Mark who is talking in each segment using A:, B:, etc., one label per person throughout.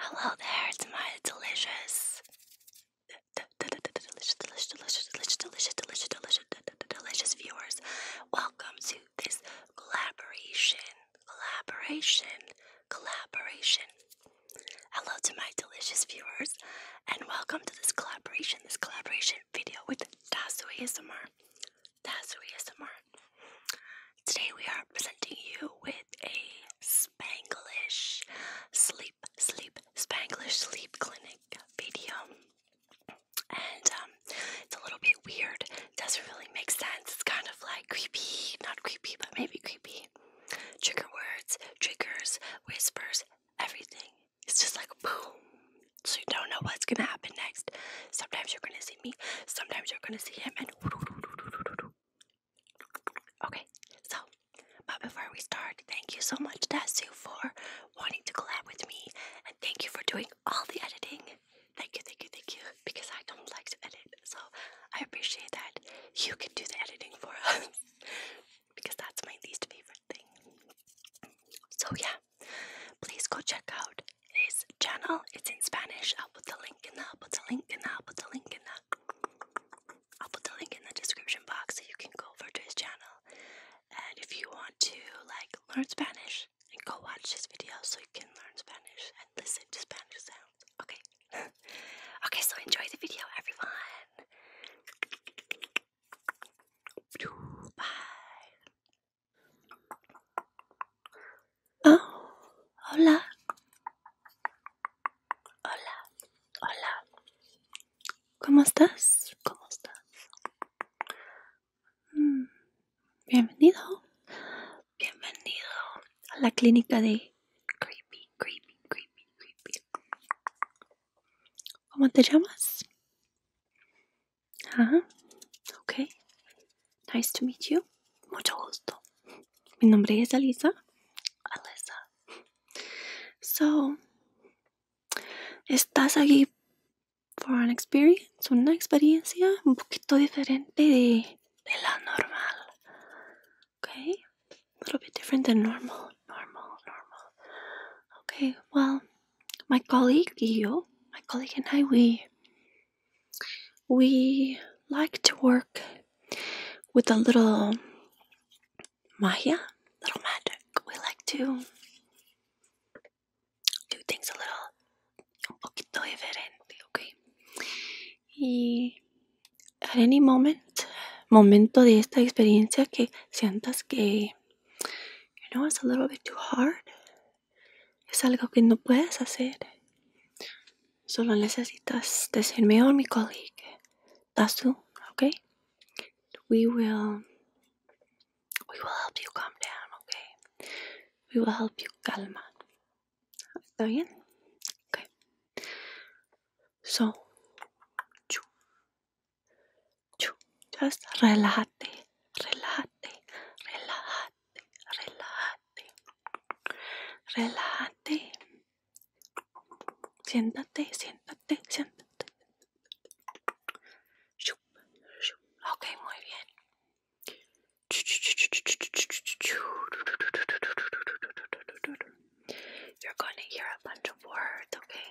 A: Hello there, it's my delicious, delicious, delicious, delicious, delicious, delicious, delicious, delicious, delicious viewers. Welcome to this collaboration, collaboration, collaboration. Hello to my delicious viewers, and welcome to this collaboration, this collaboration video with Tasu ASMR. That's ASMR. Today we are presenting you with a Spanglish sleep, sleep, Spanglish sleep clinic video. And um, it's a little bit weird. doesn't really make sense. It's kind of like creepy, not creepy, but maybe creepy. Trigger words, triggers, whispers, everything. It's just like boom. So you don't know what's gonna happen next next. Sometimes you're gonna see me, sometimes you're gonna see him, and okay. So, but before we start, thank you so much, Dasu, for wanting to collab with me, and thank you for doing all the editing. Thank you, thank you, thank you, because I don't like to edit, so I appreciate that you can do the editing for us because that's my least favorite thing. So, yeah, please go check out his channel. It's in Spanish. I'll put the link in the. I'll put the link in the. I'll put the link in the. I'll put the link in the description box so you can go over to his channel. And if you want to like learn Spanish and go watch his video so you can learn Spanish and listen to Spanish sounds. Okay. okay, so enjoy the video everyone. Bye. Oh, hola. Hola. Hola. ¿Cómo estás? ¿Cómo estás? Mm, bienvenido. Bienvenido a la clínica de Creepy, Creepy, Creepy, Creepy. ¿Cómo te llamas? Ajá. Ah, ok. Nice to meet you. Mucho gusto. Mi nombre es Alisa. Alisa. So, estás aquí for an experience, una experiencia un poquito diferente de, la normal. Okay? A little bit different than normal, normal, normal. Okay, well, my colleague y yo, my colleague and I, we we like to work with a little magia, little magic. We like to do things a little, okay? Y at any moment, momento de esta experiencia que sientas que, you know, it's a little bit too hard, Es algo que no puedes hacer. Solo necesitas decirme mejor oh, mi colega ¿Estás tú, okay? We will we will help you calm down, okay? We will help you calmar. ¿Está bien? Okay. So just relájate, relájate, relájate relájate, relájate, Siéntate, Siéntate, siéntate, siéntate. Ok, muy bien. You're gonna hear a bunch of words, okay?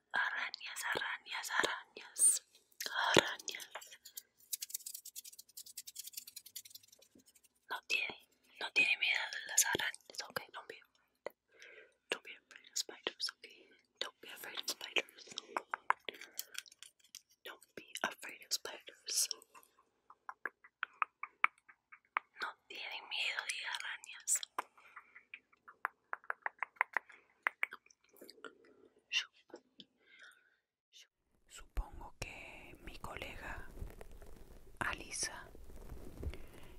A: arañas, arañas, arañas, arañas. No tiene, no tiene miedo de las arañas, okay don't be afraid. Don't be afraid of spiders, okay Don't be afraid of spiders. Don't be afraid of spiders. No tiene miedo de arañas.
B: Supongo que mi colega Alisa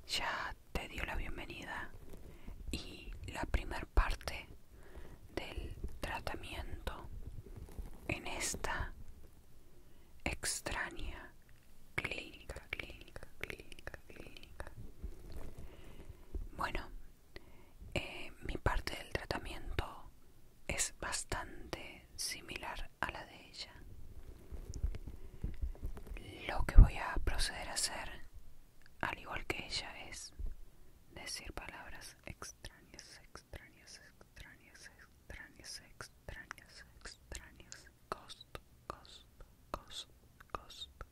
B: ya te dio la bienvenida y la primera parte del tratamiento en esta extraña clínica clínica, clínica, Bueno, eh, mi parte del tratamiento es bastante similar a la de ella. Lo que voy a proceder a hacer, al igual que ella, es decir palabras extrañas, extrañas, extrañas, extrañas, extrañas, extrañas, costo, costo, costo, costo,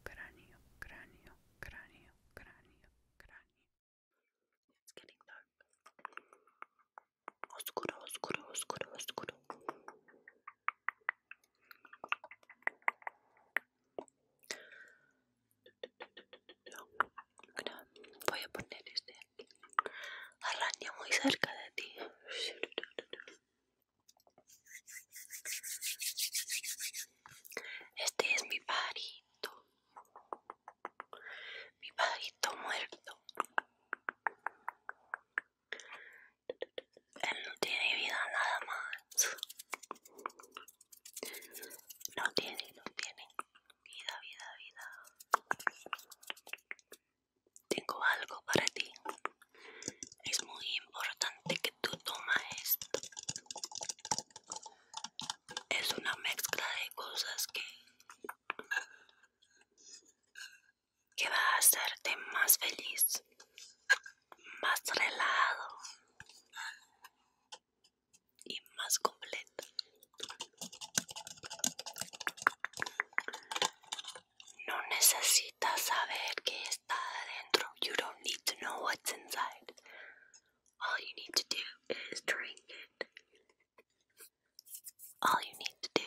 B: cráneo, cráneo, cráneo, cráneo, cráneo, It's getting dark. Oscuro, oscuro,
A: oscuro, oscuro. Voy a poner este aquí. araña muy cerca de ti. Este es mi pajarito, mi pajarito muerto. Él no tiene vida nada más. No tiene, no tiene vida, vida, vida. Tengo algo para ti es muy importante que tú tomes esto es una mezcla de cosas que que va a hacerte más feliz más relajado y más completo no necesitas necesitas saber qué está adentro. You don't need to know what's inside. All you need to do is drink it. All you need to do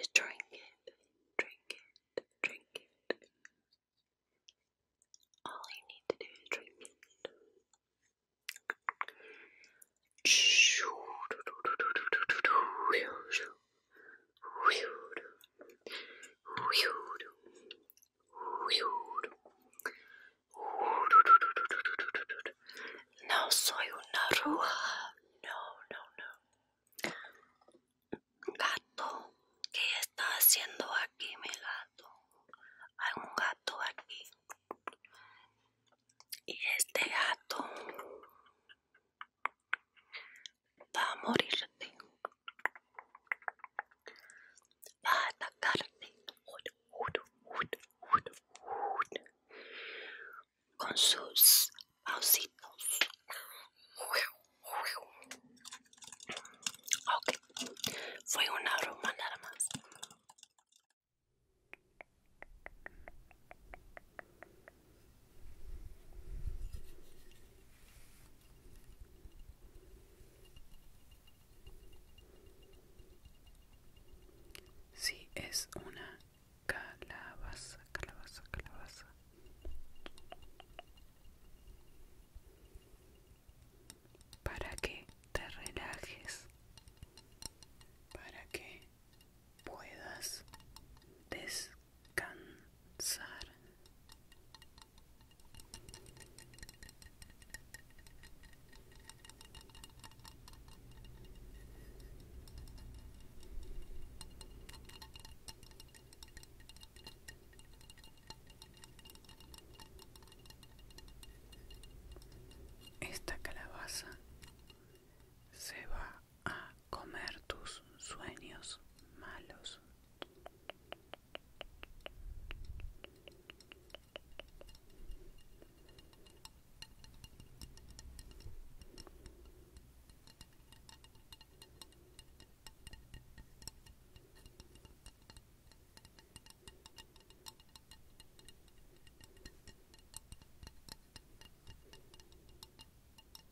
A: is drink it, drink it, drink it. All you need to do is drink it. No soy una ruja no, no, no. Gato, ¿qué está haciendo aquí mi gato? Hay un gato aquí. Y este gato va a morirte, va a atacarte con sus pausitos. Ok, fue una broma nada más.
B: Si es una calabaza, calabaza, calabaza. Para que te relajes, para que puedas descansar. Cansar. Esta calabaza se va a comer tus sueños malos.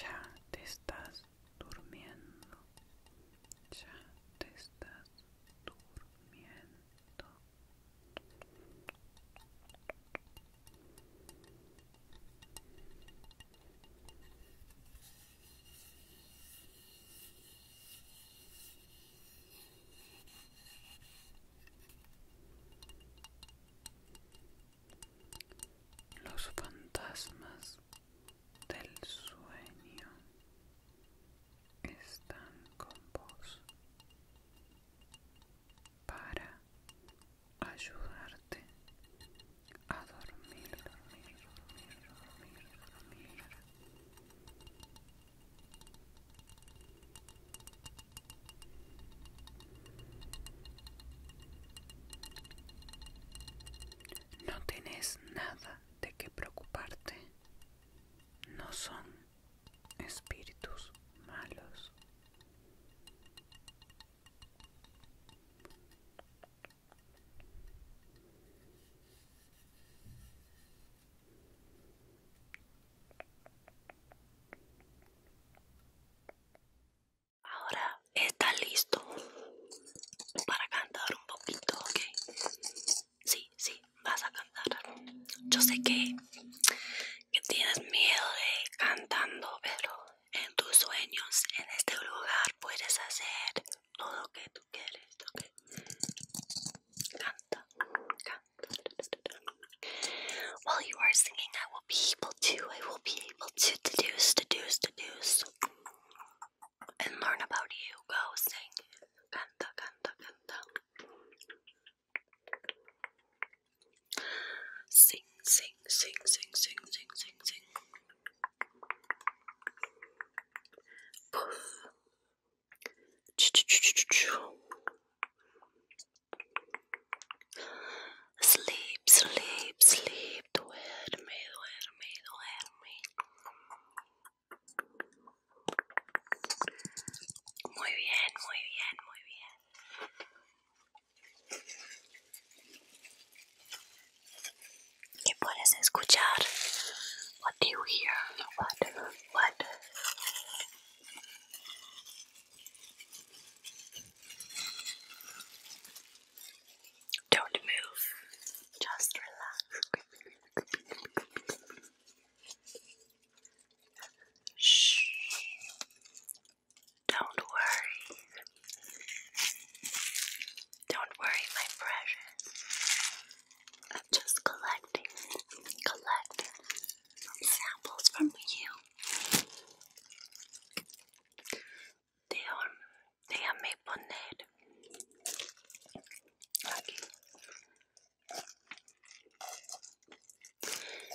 B: Ya te estás durmiendo. Ya te estás durmiendo los fantasmas del sueño están con vos para ayudarte a dormir, no tenés nada de qué preocuparte. No son espíritus malos.
A: Ahora está listo para cantar un poquito, ¿ok? Sí, sí, vas a cantar. Yo sé que, tienes miedo de cantando, pero en tus sueños, en este lugar, puedes hacer todo lo que tú quieres, ¿ok? Canta, canta. While you are singing, I will be able to, I will be able to deduce, deduce, deduce, and learn about you. Go sing. Canta, canta, canta. Sing, sing, sing, sing, sing, sing, sing, sing. Poof. Ch -ch -ch -ch -ch. Sleep, sleep, sleep, duerme, duerme, duerme. Muy bien, muy bien, muy bien. What do you hear? What? What? Don't move, just relax. Shh. Don't worry. Don't worry, my precious. I'm just collecting, collecting, some samples from you. They are, they are maple net. Okay.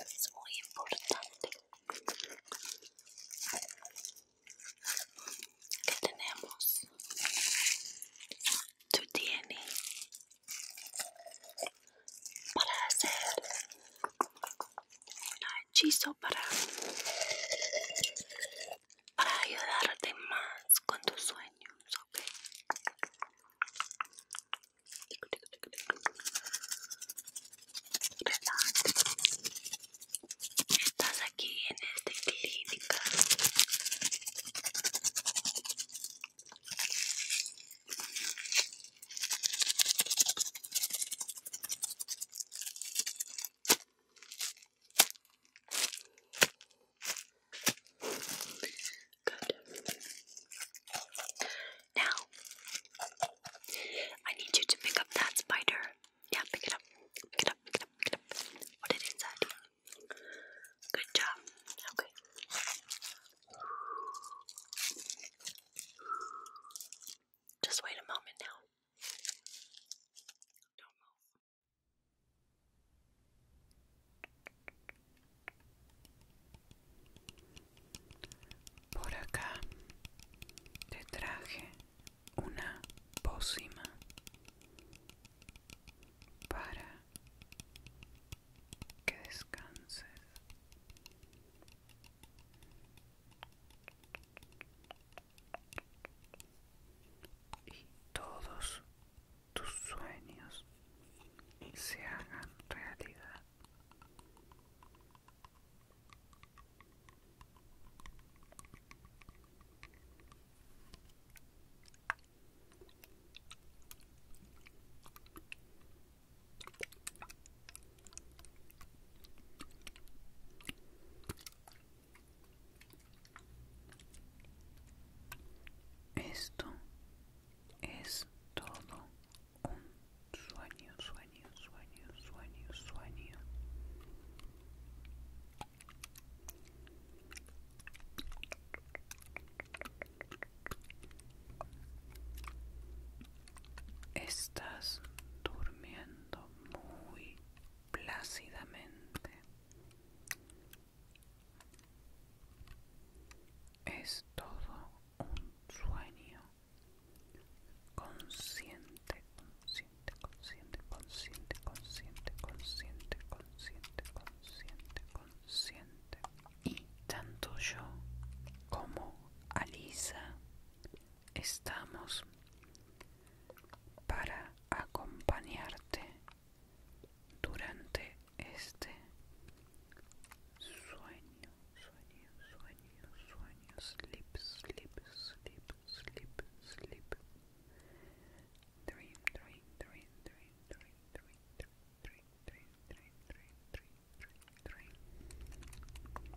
A: Es muy importante que tenemos tu DNA para hacer un hechizo para, ayudarte más con tus sueños, ¿ok? Estás aquí en esta clínica. Good. Now, I need you to pick up that spider. Yeah, pick it up. Pick it up, pick it up, pick it it inside. Good job. Okay. Just wait a moment now.
B: Por acá te traje una pócima para que descanses. Y todos tus sueños se hagan realidad. Esto es todo un sueño, sueño, sueño, sueño, sueño. Estás durmiendo muy plácidamente. Es todo un sueño consciente, consciente, consciente, consciente, consciente, consciente, consciente, consciente, consciente. consciente y tanto yo como Alisa estamos para acompañarte durante este sueño, sueño, sueño, sueño, sleep, sleep, sleep, sleep, sleep, dream, dream, dream, dream, dream, dream. three, three, three, three, three, three, three.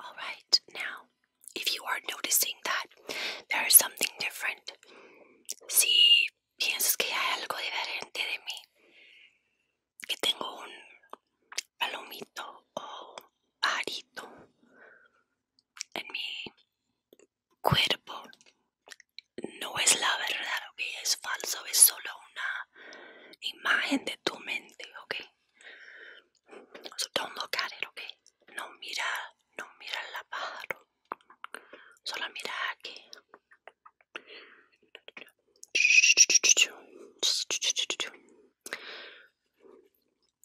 A: All right, now if you are noticing that there is something different, si piensas que hay algo diferente de mí, que tengo un palomito o arito en mi cuerpo no es la verdad, que es falso, es solo una imagen de tu mente, ok. So don't look at it, No mira, no mira la pájaro, solo mira aquí. No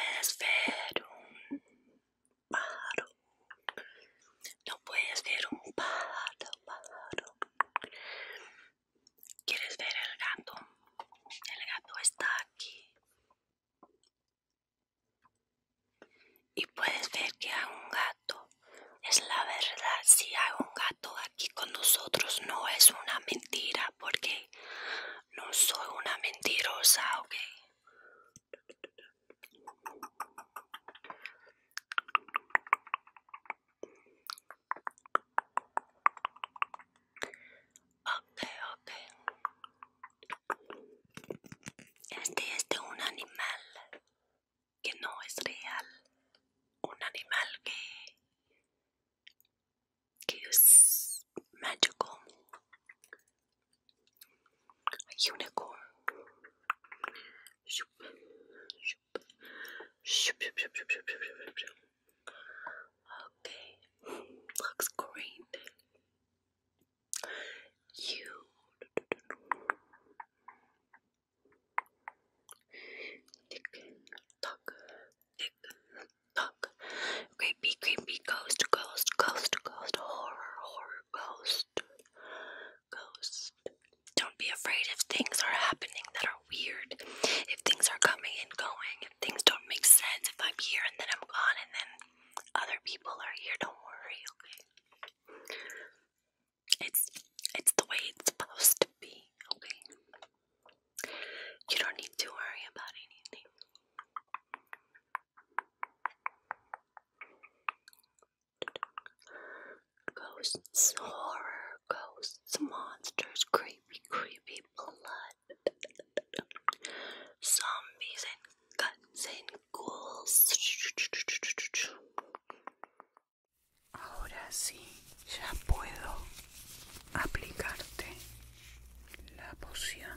A: puedes ver un pájaro. No puedes ver un pájaro, ¿Quieres ver el gato? El gato está aquí. Y puedes ver que hay un gato. Es la verdad, si hay un gato aquí con nosotros no es una mentira porque no soy una mentirosa, ok. Ok, ok. Este es de un animal que no es real. Un animal que Kiss magical unicorn. Okay, looks great. You Tick tock, Creepy, creepy ghost, ghost, ghost, ghost, horror, horror, ghost, ghost. Don't be afraid if things are happening that are weird, if things are coming and going, if things don't make sense, if I'm here and then I'm gone and then other people are here. Don't worry, okay? It's it's the way it's supposed to be, okay? You don't need to worry about anything. Ghosts, horror, ghosts, monsters, creepy, creepy blood, zombies, and guts and ghouls.
B: Ahora sí, ya puedo aplicarte la poción.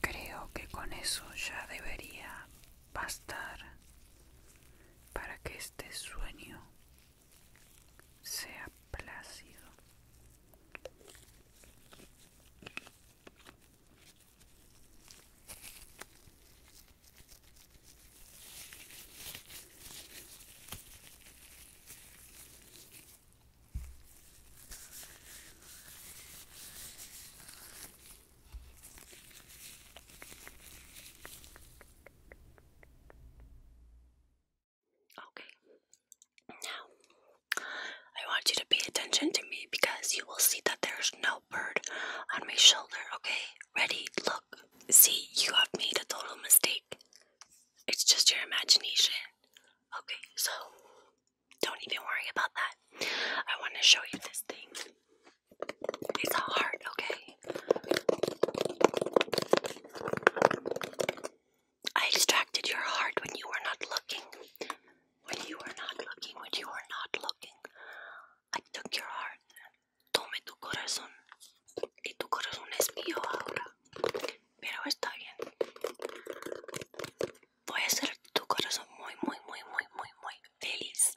B: Creo que con eso ya debería bastar para que este sueño sea plácido.
A: Okay. Now, I want you to pay attention to me because you will see that there's no bird on my shoulder, okay? Ready? Look. See, you have made a total mistake. It's just your imagination. Okay, so don't even worry about that. I want to show you this thing. It's a heart, okay? I extracted your heart when you were not looking. When you were not looking, when you were not looking. I took your heart. Tome tu corazón. Y tu corazón es mío ahora. Pero está bien. Voy a hacer tu corazón muy, muy, muy, muy, muy, muy feliz.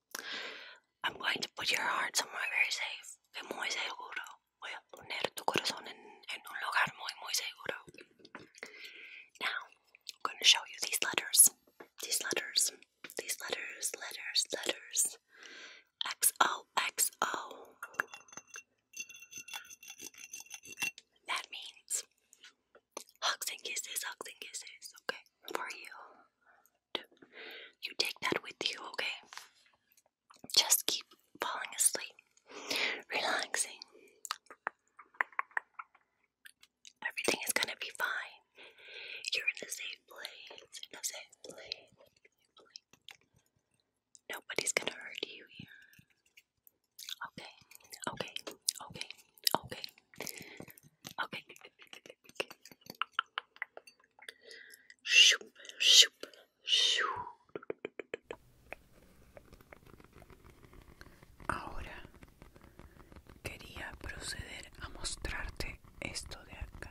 A: I'm going to put your heart somewhere very safe muy seguro. Voy a poner tu corazón en, en un lugar muy, muy seguro. Now, I'm going to show you these letters. These letters. These letters, letters, letters. XOXO. That means hugs and kisses, hugs and kisses, okay? For you. You take that with you, okay? Just keep falling asleep, relaxing. Everything is gonna be fine. You're in a safe place, in a safe place. Nobody's gonna hurt you here. Okay, okay, okay, okay, okay.
B: Ahora quería proceder a mostrarte esto de acá.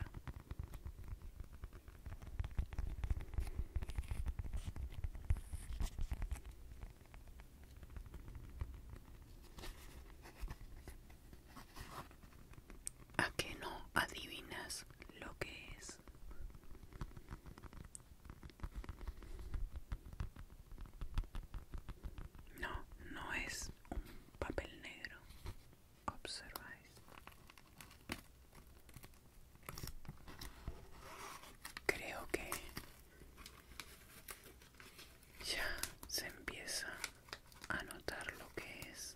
B: ¿A que no adivinas lo que es? No, no es un papel negro. Observáis. Creo que ya se empieza a notar lo que es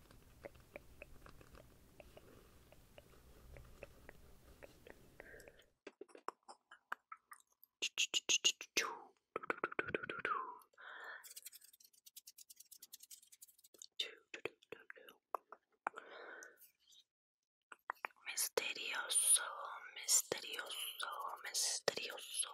A: Misterioso, misterioso, misterioso.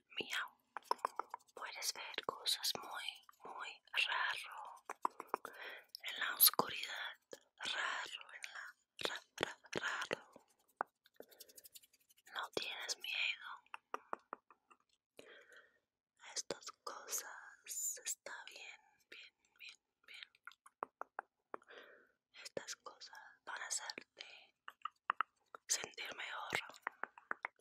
A: Miau. Puedes ver cosas muy, muy raro en la oscuridad. Raro en la raro. No tienes miedo. Estas cosas está bien, bien, bien, bien. Estas cosas van a hacerte sentir mejor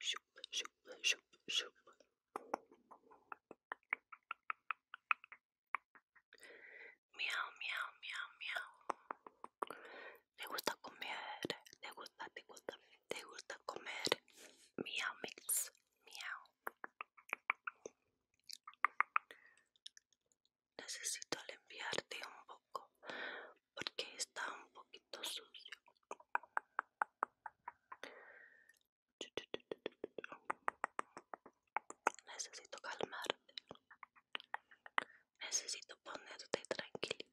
A: Shup, shup, shup, shup. Miau, miau, miau, miau. Le gusta comer, Te gusta, te gusta, te gusta comer. Miau mix, miau. Necesito limpiarte un poco porque está un poquito sucio. Necesito calmarte. Necesito ponerte tranquilito.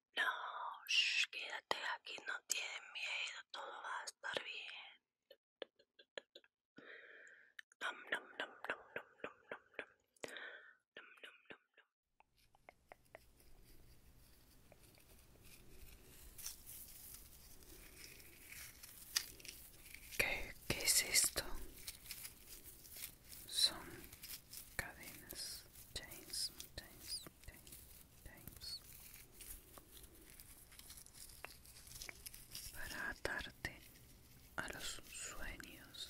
A: No, quédate aquí, no tienes miedo, todo va a estar bien.
B: ¿Qué es esto? Son cadenas. James James James Para atarte a los sueños.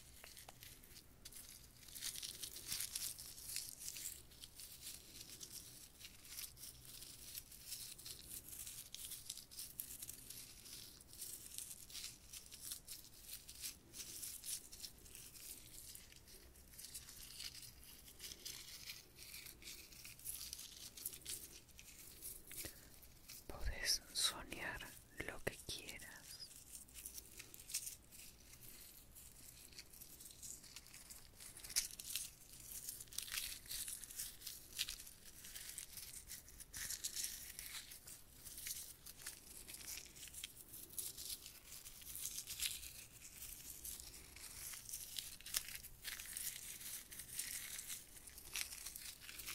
B: Podés soñar lo que quieras.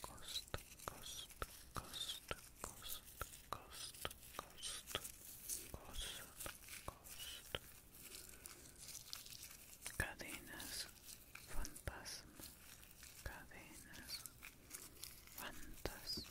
B: coast, coast, coast, coast, coast, coast, coast, coast. Cadenas, fantasma, cadenas, fantasma. Cadenas,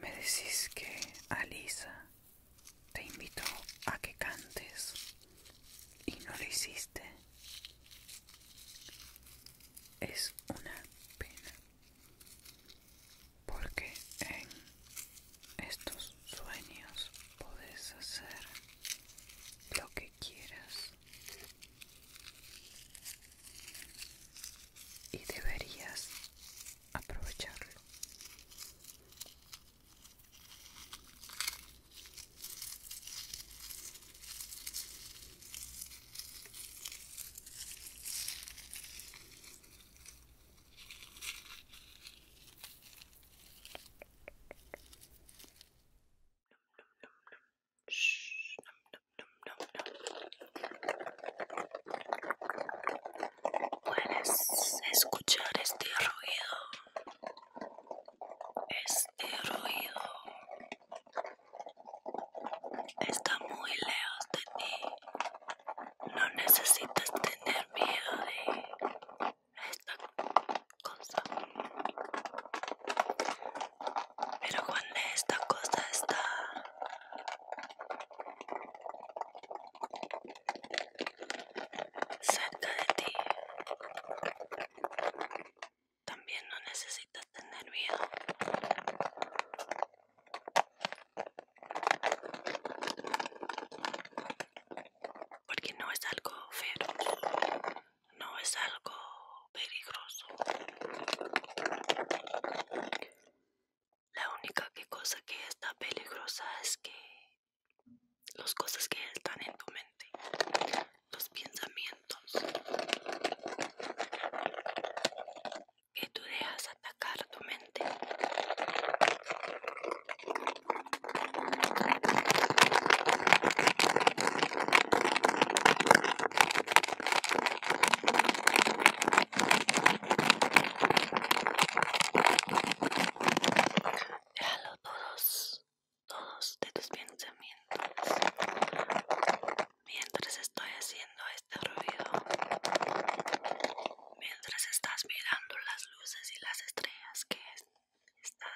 B: Me decís que Alisa te invitó a que cantes y no lo hiciste. Es una pena. Porque en estos sueños puedes hacer lo que quieras y deberías aprovecharlo.
A: Puedes escuchar este ruido. Este ruido está muy lejos de ti. No necesitas tener miedo de esta cosa. Pero cuando esta cosa está cerca de ti, también no necesitas tener miedo porque no es algo feroz, no es algo peligroso. La única cosa que está peligrosa es que las cosas que están en tu mente, los pensamientos que tú dejas atacar tu mente Déjalo todos, todos de tus pensamientos mientras estoy haciendo este ruido, mientras estás mirando las luces y las estrellas que está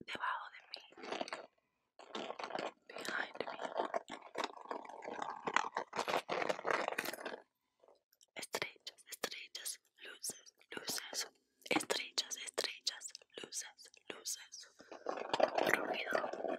A: debajo de mí behind me estrellas estrellas luces luces estrellas estrellas luces luces ruido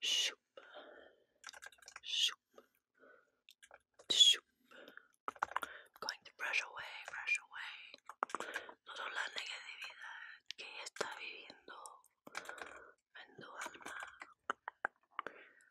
A: Shoop. Shoop. Shoop. Going to brush away, brush away. Toda la negatividad que ella está viviendo en tu alma.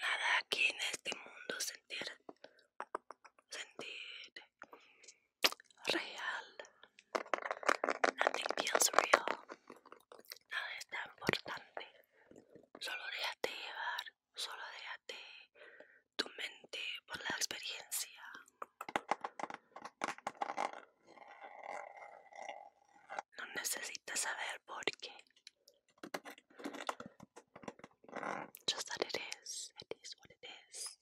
A: nada aquí en este mundo sentir sentir real nothing feels real nada es tan importante solo déjate llevar solo déjate tu mente por la experiencia no necesitas saber por qué. Just that it is. It is what it is.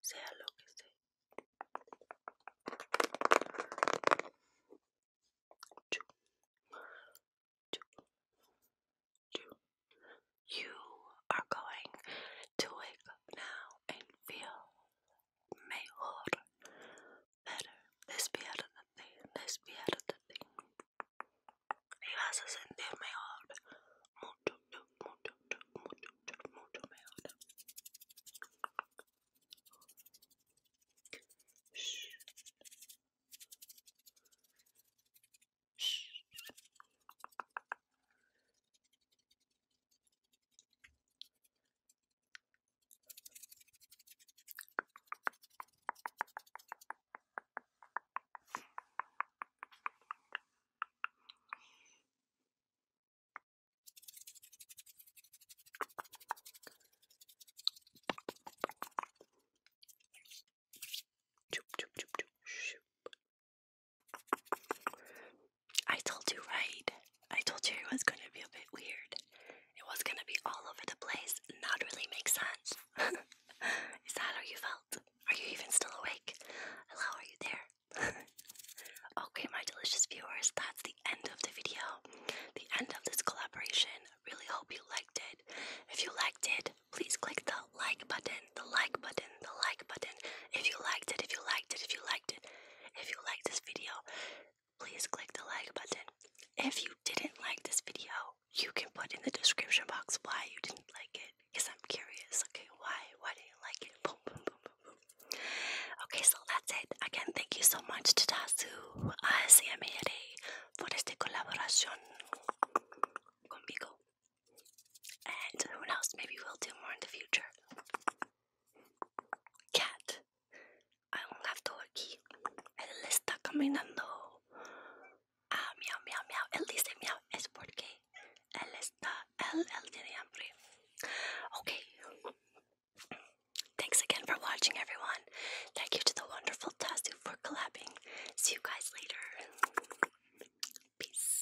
A: Sea lo que sea. You are going to wake up now and feel mejor. better. Respirate, respirate. Y vas a sentir mejor. Mucho, mucho, mucho, mucho mejor. Shh. Shh. I told you right. I told you it was going to be a bit weird it was gonna be all over the place and not really make sense. Is that how you felt? Are you even still awake? Hello, are you there? okay, my delicious viewers, that's the end of the video. The end of this collaboration. Really hope you liked it. If you liked it, please click the like button, the like button, the like button. If you liked it, if you liked it, if you liked it, if you liked this video, please click the like button. If you didn't like this video, you can put in the description box why you didn't like it. Because I'm curious, okay, why? Why do not you like it? Okay, so that's it. Again, thank you so much to Tazu ASMR for este colaboración conmigo. And who knows, maybe we'll do more in the future. Cat aún la aquí. Él está caminando. Ah, miau, miau, miau. Él dice miau. Es porque él está. Él, él Okay. Thanks again for watching, everyone. Thank you to the wonderful Tasu for collabing. See you guys later. Peace.